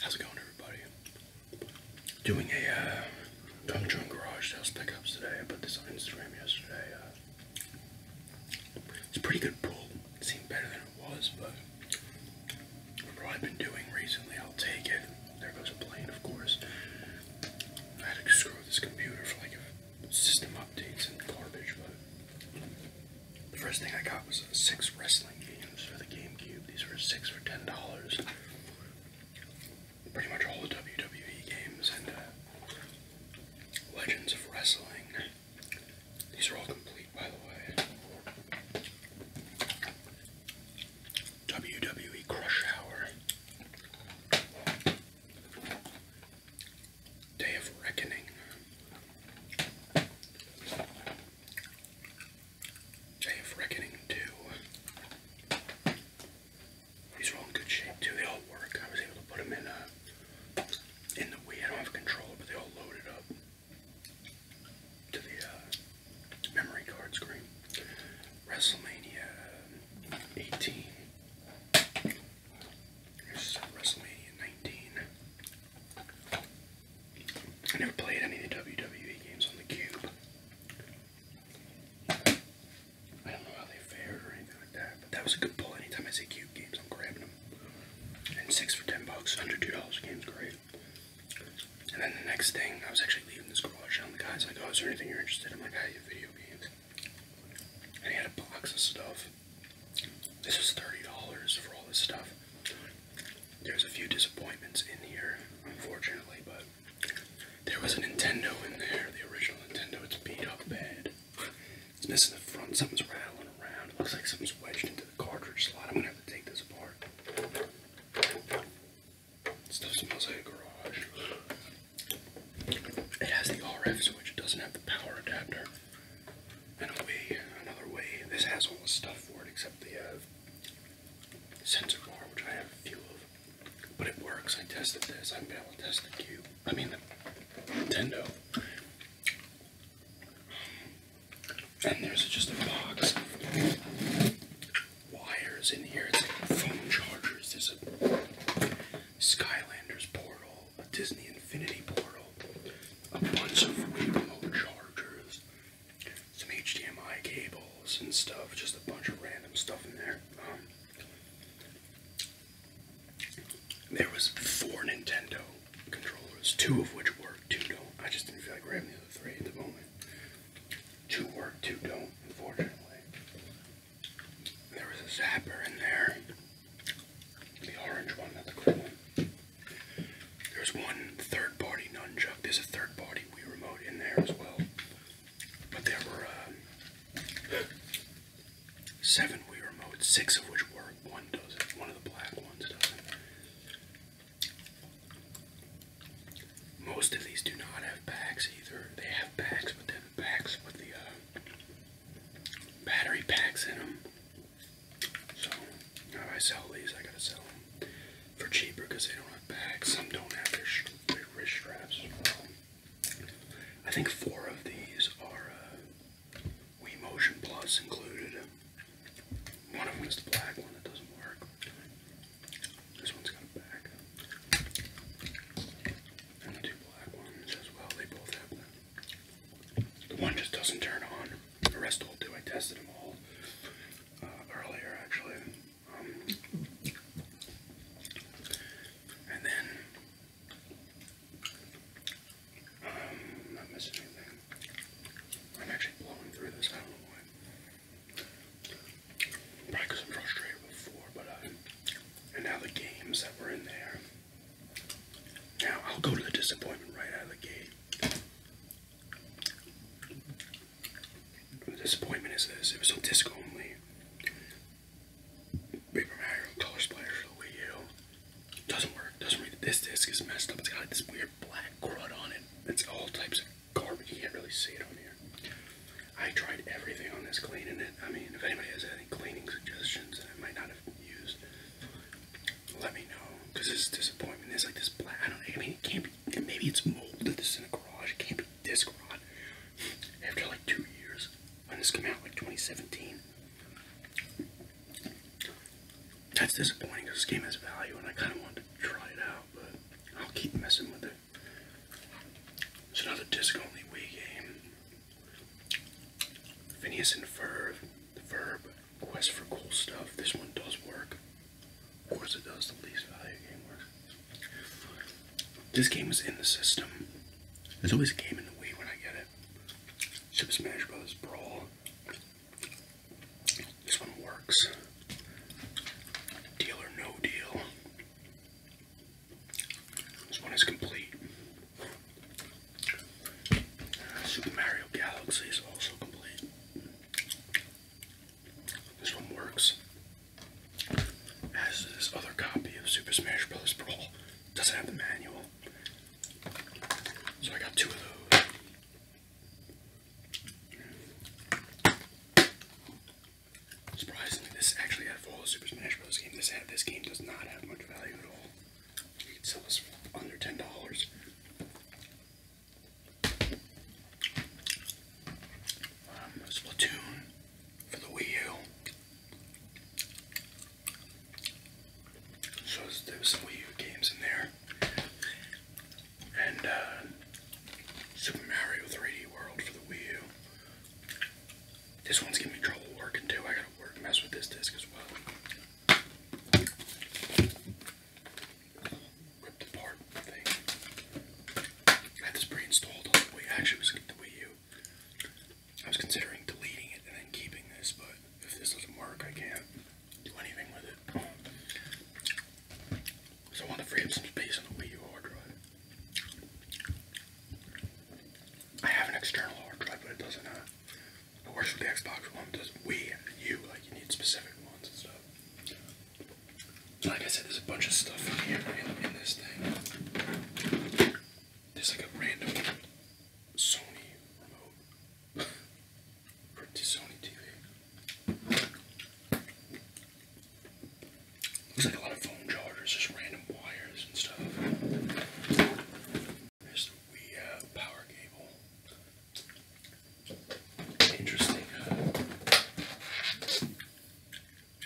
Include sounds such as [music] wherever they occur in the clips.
How's it going, everybody? Doing a uh, Dung Chung Garage house pickups today. I put this on Instagram yesterday. Uh, it's a pretty good pull. It seemed better than it was, but what I've been doing recently, I'll take it. There goes a plane, of course. had to screw this computer for like system updates and garbage, but the first thing I got was six wrestling games for the GameCube. These were six for ten dollars. Pretty much all the WWE games and uh, Legends of Wrestling. These are all complete, by the way. WWE Crush Hour. Day of Reckoning. Day of Reckoning 2. These are all in good shape too. They all work. I was able to put them in uh, in the Wii. I don't have control, but they all loaded up to the uh, memory card screen. WrestleMania 18. WrestleMania 19. I never played any of the WWE games on the Cube. I don't know how they fared or anything like that, but that was a good pull. Anytime I see Cube games, I'm grabbing them. And six for ten bucks, under two dollars, game's great. And then the next thing, I was actually leaving this garage, and the guy's like, "Oh, is there anything you're interested?" in?" I'm like, "I have video games." And he had a box of stuff. This is $30 for all this stuff. There's a few disappointments in here, unfortunately, but there was a Nintendo in there, the original Nintendo. It's beat up bad. It's missing the front, something's rattling around. It looks like something's wedged into the cartridge slot. I'm gonna have to take this apart. Stuff smells like a garage. It has the RF switch, it doesn't have the power adapter. And a way, another way, this has all the stuff for it except the uh, sensor bar, which I have a few of. But it works, I tested this, I am not able to test the Cube, I mean the Nintendo. And there's just a box of wires in here, it's like phone chargers, there's a Skylanders portal, a Disney Infinity portal, a bunch of remote chargers, some HDMI cables and stuff, just a bunch of random stuff in there. Um, there was four Nintendo controllers, two of which work, two don't. I just didn't feel like grabbing the other three at the moment. Two work, two don't, unfortunately. There was a zapper in there. The orange one, not the green one. There's one third party nunchuck. There's a third party Wii remote in there as well. But there were uh, seven Wii remotes, six of which work. One doesn't. One of the black ones doesn't. Most of these do not have backs either. They have backs, but then packs with the uh, battery packs in them. So I sell these, I gotta sell them for cheaper because they don't have bags. Some don't have their, wrist straps. I think four of these are uh, Motion Plus included. One of them is the black one that doesn't work. This one's got a back. And the two black ones as well, they both have them. The one just doesn't turn on. The rest all do. I tested them all uh, earlier actually. Um, and then, um, I'm not missing anything. I'm actually blowing through this, I do Probably I'm frustrated before, but uh, and now the games that were in there. Now I'll go to the disappointment right out of the gate. The disappointment is this: it was on disc only. Paper Mario Color Splash for the doesn't work. Doesn't This disc is messed up. It's got this weird black crud on it. It's all types of garbage. You can't really see it on here. I tried everything on this cleaning it. I mean, if anybody has any cleaning suggestions that I might not have used, let me know. Because this disappointment. is like this black. I don't know. I mean, it can't be. Maybe it's molded. This is in a garage. It can't be this garage. [laughs] After like two years, when this came out, like 2017. That's disappointing because this game has value and I kind of wanted to try it out, but I'll keep messing with it. It's another disc-only Wii game. Phineas and Ferb, the Verb, Quest for Cool Stuff. This one does work. Of course it does, the least value game works. This game is in the system. There's always a game in the Wii when I get it. Super Smash Bros. Brawl. This one works. Deal or no deal. This one is complete. Uh, Super Mario Galaxy is also complete. This one works. As this other copy of Super Smash Bros. Brawl doesn't have the manual. So I got two of those. Surprisingly, this actually had a all the Super Smash Bros. game. this this game does not have much value at all. You can sell this for under ten dollars. Um, Splatoon for the Wii U. So there some Wii U games in there and uh, Super Mario 3D World for the Wii U. This one's giving me trouble working too. I gotta work mess with this disc as well. Ripped apart I had this pre-installed on the Wii. Actually, it was the Wii U. I was considering deleting it and then keeping this, but if this doesn't work, I can't do anything with it. So on the frames and space on the Wii U hard drive. I have an external hard drive, but it doesn't. Uh, it works with the Xbox One. Does Wii and U like you need specific ones and stuff. Like I said, there's a bunch of stuff in here in, in this thing. There's like a random Sony remote. [laughs] Looks like a lot of phone chargers, just random wires and stuff. There's Wii power cable. Interesting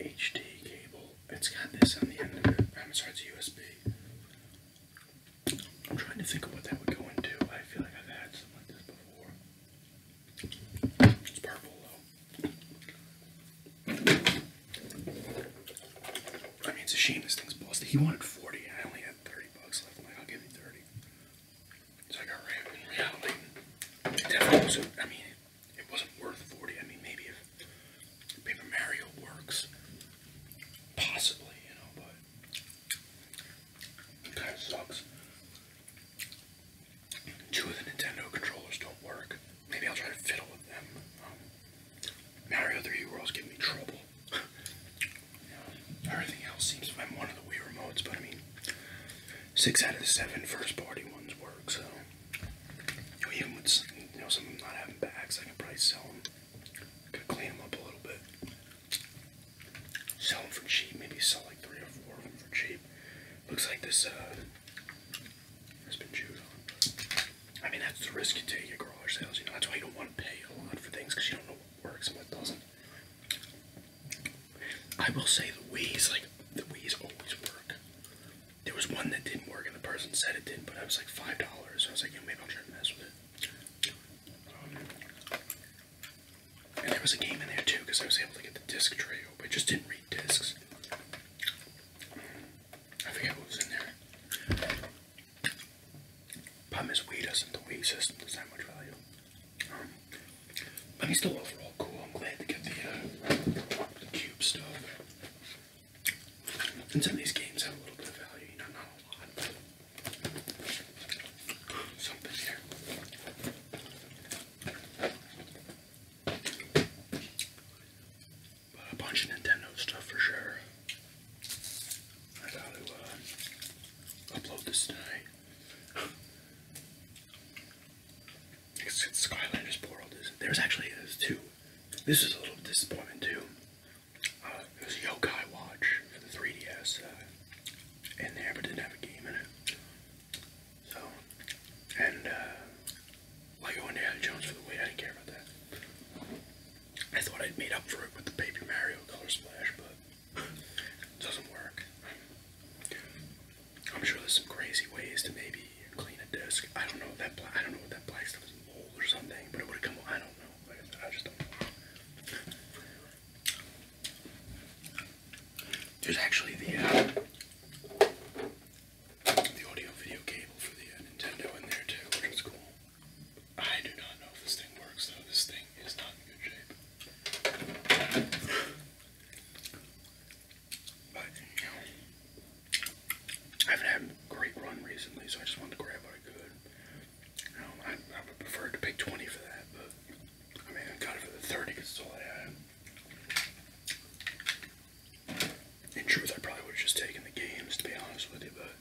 HD cable. It's got this on the end of it. I'm sorry, it's USB. I'm trying to think of what that would go into. I feel like I've had something like this before. It's purple though. I mean, it's a shame this thing's busted. He wanted 40 I only had 30 bucks left. I'm like, I'll give you 30. It's like, got right in reality. I mean, it wasn't worth 40. I mean, maybe if Paper Mario works, possibly, you know, but that sucks. Two of the Nintendo controllers don't work. Maybe I'll try to fiddle with them. Um, Mario 3D World's giving me trouble. [laughs] Everything else seems to be one of the Wii remotes, but I mean, six out of the seven first party ones work, so. Even with some, you know, some of them not having bags, I can probably sell them. Could clean them up a little bit. Sell them for cheap. Maybe sell like three or four of them for cheap. Looks like this uh, has been chewed on. I mean, that's the risk you take at garage sales. You know, that's why you don't want to pay a lot for things because you don't know what works and what doesn't. I will say the Wii's like the Wii's always work. There was one that didn't work, and the person said it didn't, but it was like five dollars. So I was like, you know, maybe I'll try to mess with it. And there was a game in there too because I was able to get the disc tray open. I just didn't read discs. I forget what was in there. Palm is, Wii doesn't. The Wii system doesn't have much value. Um, but he's still overall cool. I'm glad to get the, uh, the cube stuff. And some of these games have a little bit of value, you know, not a lot, but a bunch of Nintendo stuff for sure. I gotta uh, upload this tonight. It's, it's Skylanders Portal. There's actually there's two. This is a little disappointing too. Uh, it was a Yokai Watch for the 3DS uh, in there, didn't have a game in it. So, and uh, Lego Indiana Jones for the Wii, I didn't care about that. I thought I'd make up for it with the Paper Mario Color Splash, but it doesn't work. I'm sure there's some crazy ways to maybe clean a disc. I don't know what that black, I don't know what that black stuff is there's actually uh, the audio video cable for the uh, Nintendo in there too, which is cool. I do not know if this thing works though. This thing is not in good shape. But I haven't had a great run recently, so I just wanted to grab what I could. Um, I, I would prefer to pay 20 for that, but I mean, I got it for the 30 because it's all I had. In truth, I probably would have just taken the games, to be honest with you, but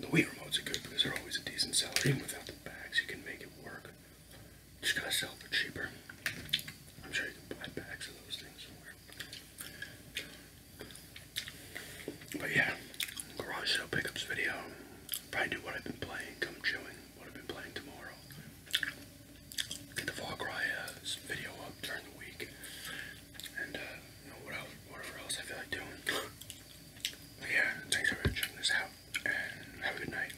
the Wii remotes are good because they're always a decent seller. Even without the bags, you can make it work. Just gotta sell for cheaper. I'm sure you can buy bags of those things somewhere. But yeah, garage sale pickups video. Probably do what I've been playing, come chewing, what I've been playing tomorrow. Get the Far Cry uh, video up during the week. And uh, know, what else, whatever else I feel like doing. yeah, thanks for checking this out. And have a good night.